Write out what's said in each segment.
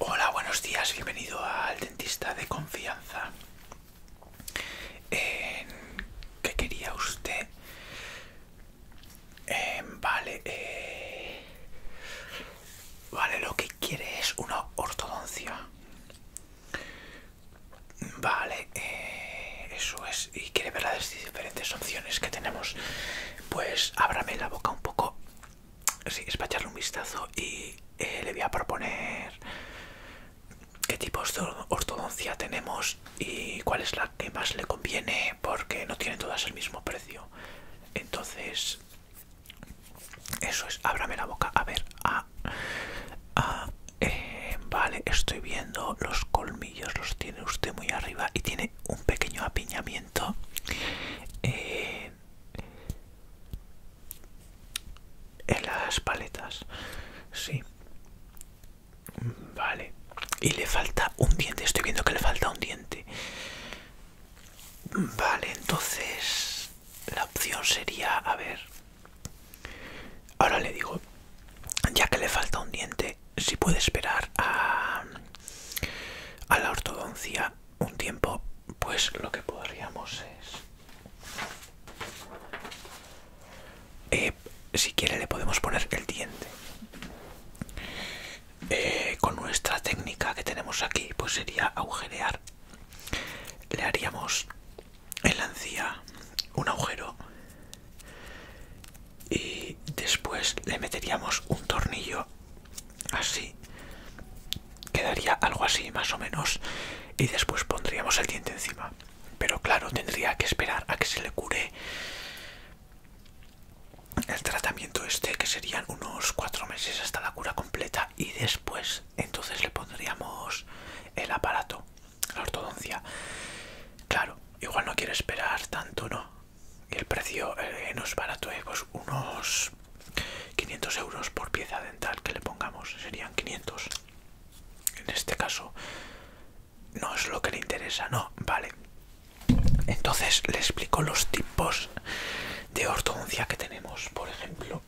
Hola, buenos días, bienvenido al dentista de confianza. ¿Qué quería usted? Em, vale, eh, Vale, lo que quiere es una ortodoncia. Vale, eh, eso es. Y quiere ver las diferentes opciones que tenemos. Pues ábrame la boca un poco. Sí, es para echarle un vistazo y eh, le voy a proponer qué tipos de ortodoncia tenemos y cuál es la que más le conviene porque no tienen todas el mismo precio. Entonces eso es, ábrame la boca. A ver, ah, vale, estoy viendo los colmillos, los tiene usted muy arriba y tiene un pequeño apiñamiento. Eh, en las paletas, sí. Vale. Y le falta un diente, estoy viendo que le falta un diente. Vale, entonces la opción sería, a ver, ahora le digo, ya que le falta un diente, si puede esperar a, la ortodoncia un tiempo, pues lo que podríamos es, eh, si quiere le podemos poner el diente. Eh, con nuestra técnica que tenemos aquí, pues sería agujerear le haríamos en la encía un agujero y después le meteríamos un tornillo así quedaría algo así más o menos y después pondríamos el diente encima pero claro tendría que esperar a que se le cure el tratamiento este que serían unos cuatro meses hasta la cura completa y después entonces le pondríamos el aparato, la ortodoncia. Claro, igual no quiere esperar tanto, ¿no? Y el precio eh, no es barato, ¿eh? pues unos 500 euros por pieza dental que le pongamos, serían 500. En este caso, no es lo que le interesa, ¿no? Vale. Entonces le explico los tipos de ortodoncia que tenemos. Por ejemplo,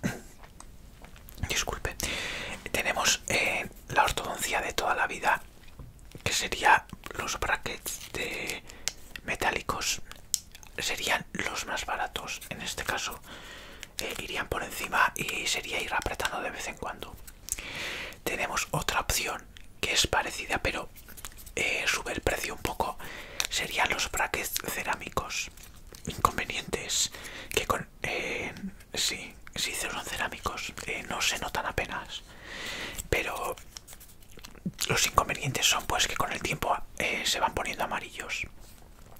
disculpe, tenemos eh, la ortodoncia de toda la vida, que sería los brackets de metálicos, serían los más baratos. En este caso, eh, irían por encima y sería ir apretando de vez en cuando. Tenemos otra opción que es parecida pero eh, sube el precio un poco serían los brackets cerámicos inconvenientes que con eh, sí sí son cerámicos eh, no se notan apenas pero los inconvenientes son pues que con el tiempo se van poniendo amarillos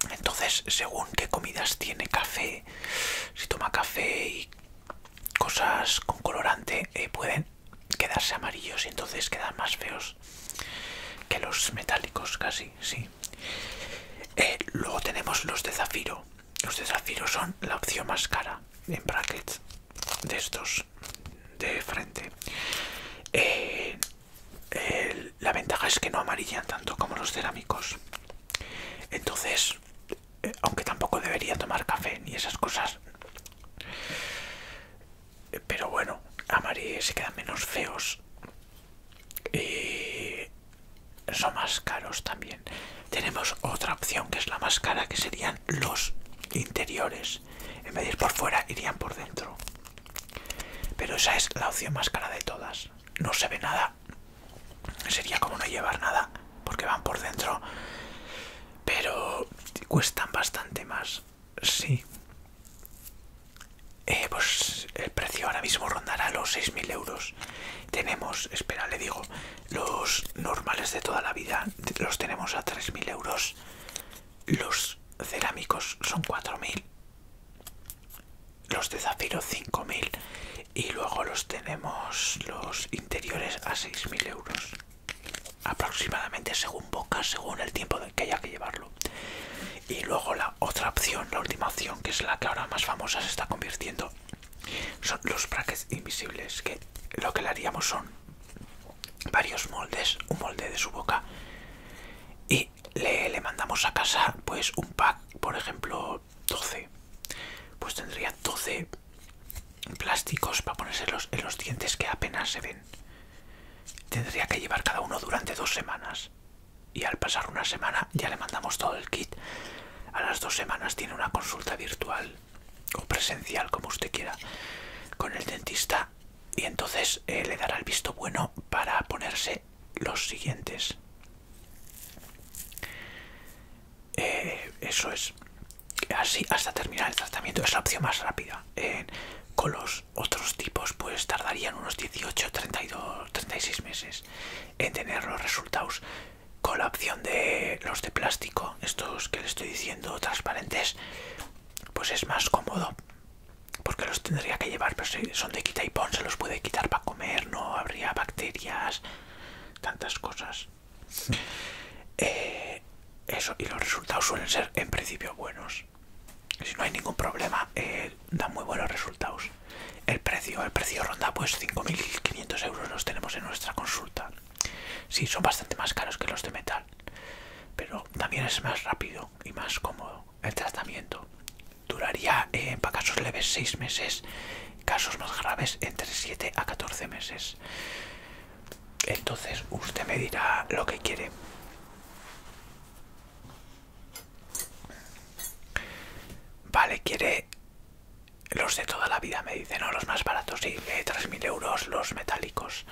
entonces según qué comidas tiene café si toma café y cosas con colorante pueden quedarse amarillos y entonces quedan más feos que los metálicos casi, sí. Eh, luego tenemos los de zafiro. Los de zafiro son la opción más cara, en brackets, de estos, de frente. Eh, la ventaja es que no amarillan tanto como los cerámicos. Entonces, eh, aunque tampoco debería tomar café ni esas cosas, pero bueno, Marie se quedan menos feos. Y son más caros también. Tenemos otra opción que es la más cara, que serían los interiores. En vez de ir por fuera, irían por dentro. Pero esa es la opción más cara de todas. No se ve nada. Sería como no llevar nada, porque van por dentro. Pero cuestan bastante más. Sí. Eh, pues el precio ahora mismo rondará los 6.000 euros. Tenemos, espera, le digo, los normales de toda la vida los tenemos a 3.000 euros. Los cerámicos son 4.000. Los de zafiro 5.000. Y luego los tenemos los interiores a 6.000 euros aproximadamente según boca, según el tiempo que haya que llevarlo. Y luego la otra opción, la última opción, que es la que ahora más famosa se está convirtiendo, son los brackets invisibles, que lo que le haríamos son varios moldes, un molde de su boca, y le, mandamos a casa pues un pack, por ejemplo, 12. Pues tendría 12 plásticos para ponérselos en los dientes que apenas se ven. Tendría que llevar cada uno durante dos semanas. Y al pasar una semana ya le mandamos todo el kit. A las dos semanas tiene una consulta virtual o presencial, como usted quiera, con el dentista. Y entonces eh, le dará el visto bueno para ponerse los siguientes. Eh, eso es. Así hasta terminar el tratamiento. Es la opción más rápida. con los otros, tipos pues tardarían unos 18, 32, 36 meses en tener los resultados con la opción de los de plástico, estos que le estoy diciendo transparentes, pues es más cómodo porque los tendría que llevar, pero son de quita y pon, se los puede quitar para comer, no habría bacterias, tantas cosas. Eh, eso, y los resultados suelen ser en principio buenos. Si no hay ningún problema, eh, da muy buenos resultados. El precio, el precio ronda pues 5.500 euros los tenemos en nuestra consulta. Sí, son bastante más caros que los de metal, pero también es más rápido y más cómodo el tratamiento. Duraría eh, para casos leves 6 meses, casos más graves entre 7 a 14 meses. Entonces usted me dirá lo que quiere. Vale, quiere los de toda la vida, me dice, no, los más baratos, sí, 3.000 eh, euros los metálicos.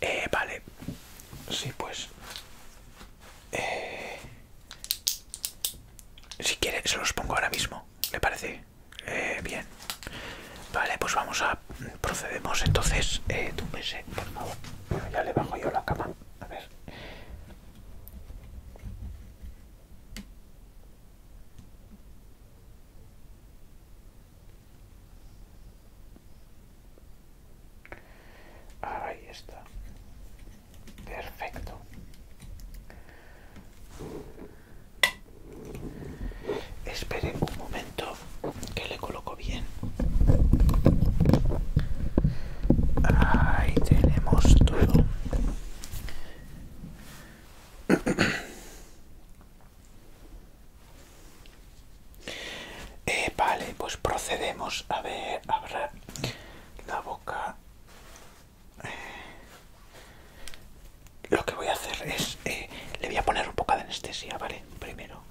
Eh, vale, sí, pues... Eh, si quiere, se los pongo ahora mismo, ¿le parece? bien. Vale, pues vamos a procedemos entonces. Eh, sé, por favor. ya le bajo yo la cama. A ver. Ahí está. Perfecto. Espere un momento que le coloco bien. Ahí tenemos todo. Eh, vale, pues procedemos a ver, abrir la boca. lo que voy a hacer es, eh, le voy a poner un poco de anestesia, ¿vale? Primero.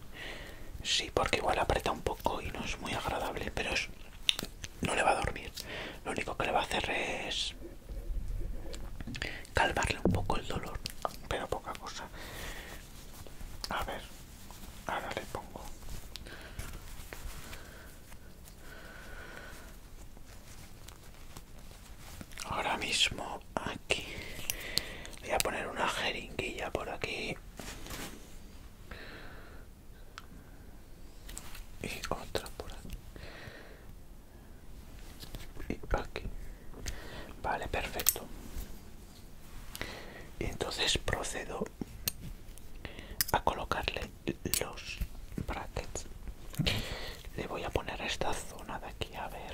Sí, porque igual aprieta un poco y no es muy agradable, pero no le va a dormir. Lo único que le va a hacer es calmarle un poco el dolor, pero poca cosa. A ver, ahora le pongo. Ahora mismo aquí voy a poner una jeringuilla por aquí y otra por aquí y aquí vale perfecto y entonces procedo a colocarle los brackets le voy a poner esta zona de aquí a ver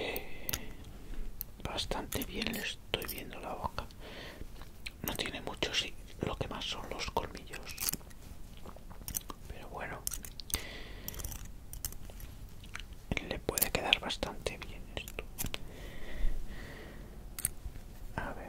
Eh, bastante bien le estoy viendo la boca. No tiene mucho, sí, lo que más son los colmillos. Pero bueno, le puede quedar bastante bien esto a ver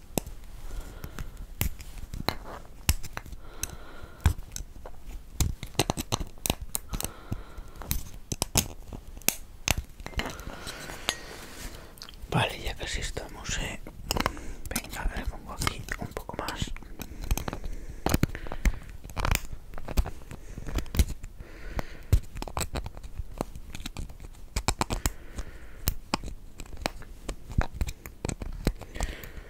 Vale, ya casi estamos, eh. Venga, le pongo aquí un poco más.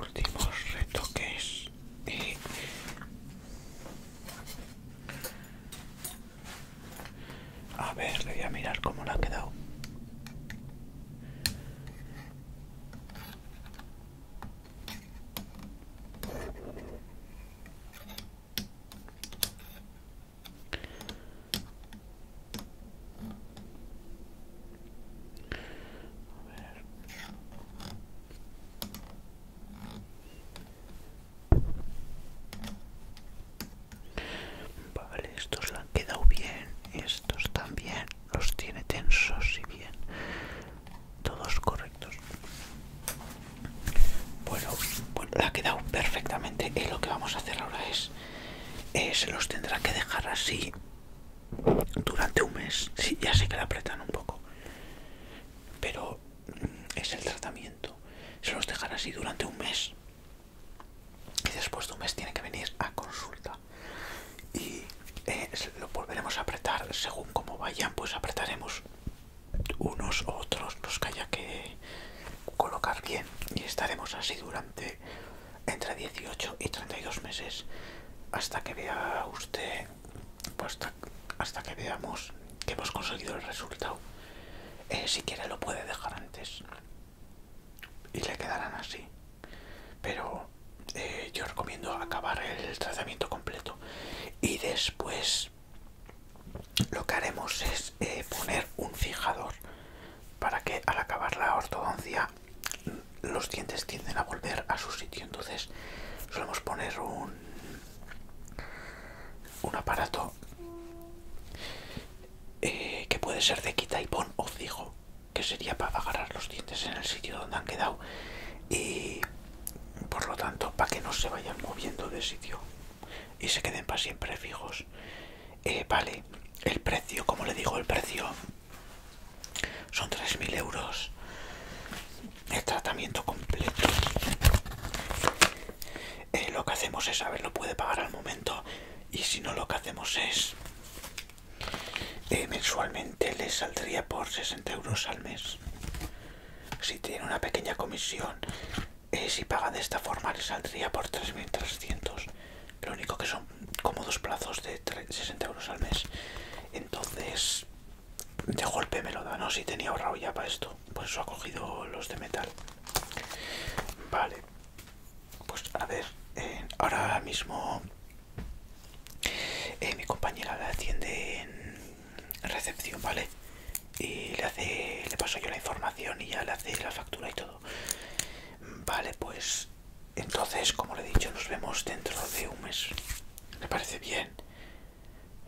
últimos retoques y eh, a ver le voy a mirar cómo la ha quedado Vale, estos le han quedado bien, estos también los tiene tensos y bien, todos correctos. Bueno, la ha quedado perfectamente. Y lo que vamos a hacer ahora es, eh, se los tendrá que dejar así durante un mes. Sí, ya sé que la apretan un poco, pero mm, es el tratamiento. Se los dejará así durante un mes. Y después de un mes tiene que venir a consulta. Y eh, lo volveremos a apretar según como vayan, pues apretaremos unos otros los que haya que colocar bien y estaremos así durante entre 18 y 32 meses hasta que vea usted pues, hasta, que veamos que hemos conseguido el resultado eh, si quiere lo puede dejar antes y le quedarán así pero eh, yo recomiendo acabar el tratamiento completo y después lo que haremos es eh, poner un fijador para que al acabar la ortodoncia los dientes tienden a volver a su sitio. Entonces, solemos poner un, un aparato eh, que puede ser de quita y pon o fijo, que sería para agarrar los dientes en el sitio donde han quedado y por lo tanto para que no se vayan moviendo de sitio y se queden para siempre fijos. Eh, vale, el precio, como le digo, el precio son 3.000 euros. El tratamiento completo. Eh, lo que hacemos es, a ver, lo puede pagar al momento. Y si no, lo que hacemos es... Eh, mensualmente le saldría por 60 euros al mes. Si tiene una pequeña comisión eh, si paga de esta forma le saldría por 3.300 lo único que son como dos plazos de 60 euros al mes entonces de golpe me lo da no si tenía ahorrado ya para esto pues eso ha cogido los de metal vale pues a ver eh, ahora mismo eh, mi compañera la atiende en recepción, ¿vale? Y le hace, le paso yo la información y ya le hace la factura y todo. Vale, pues entonces, como le he dicho, nos vemos dentro de un mes. me parece bien?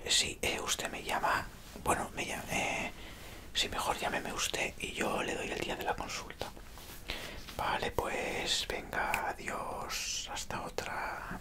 Eh, si eh, usted me llama, bueno, me llama, eh, si mejor llámeme usted y yo le doy el día de la consulta. Vale, pues venga, adiós, hasta otra.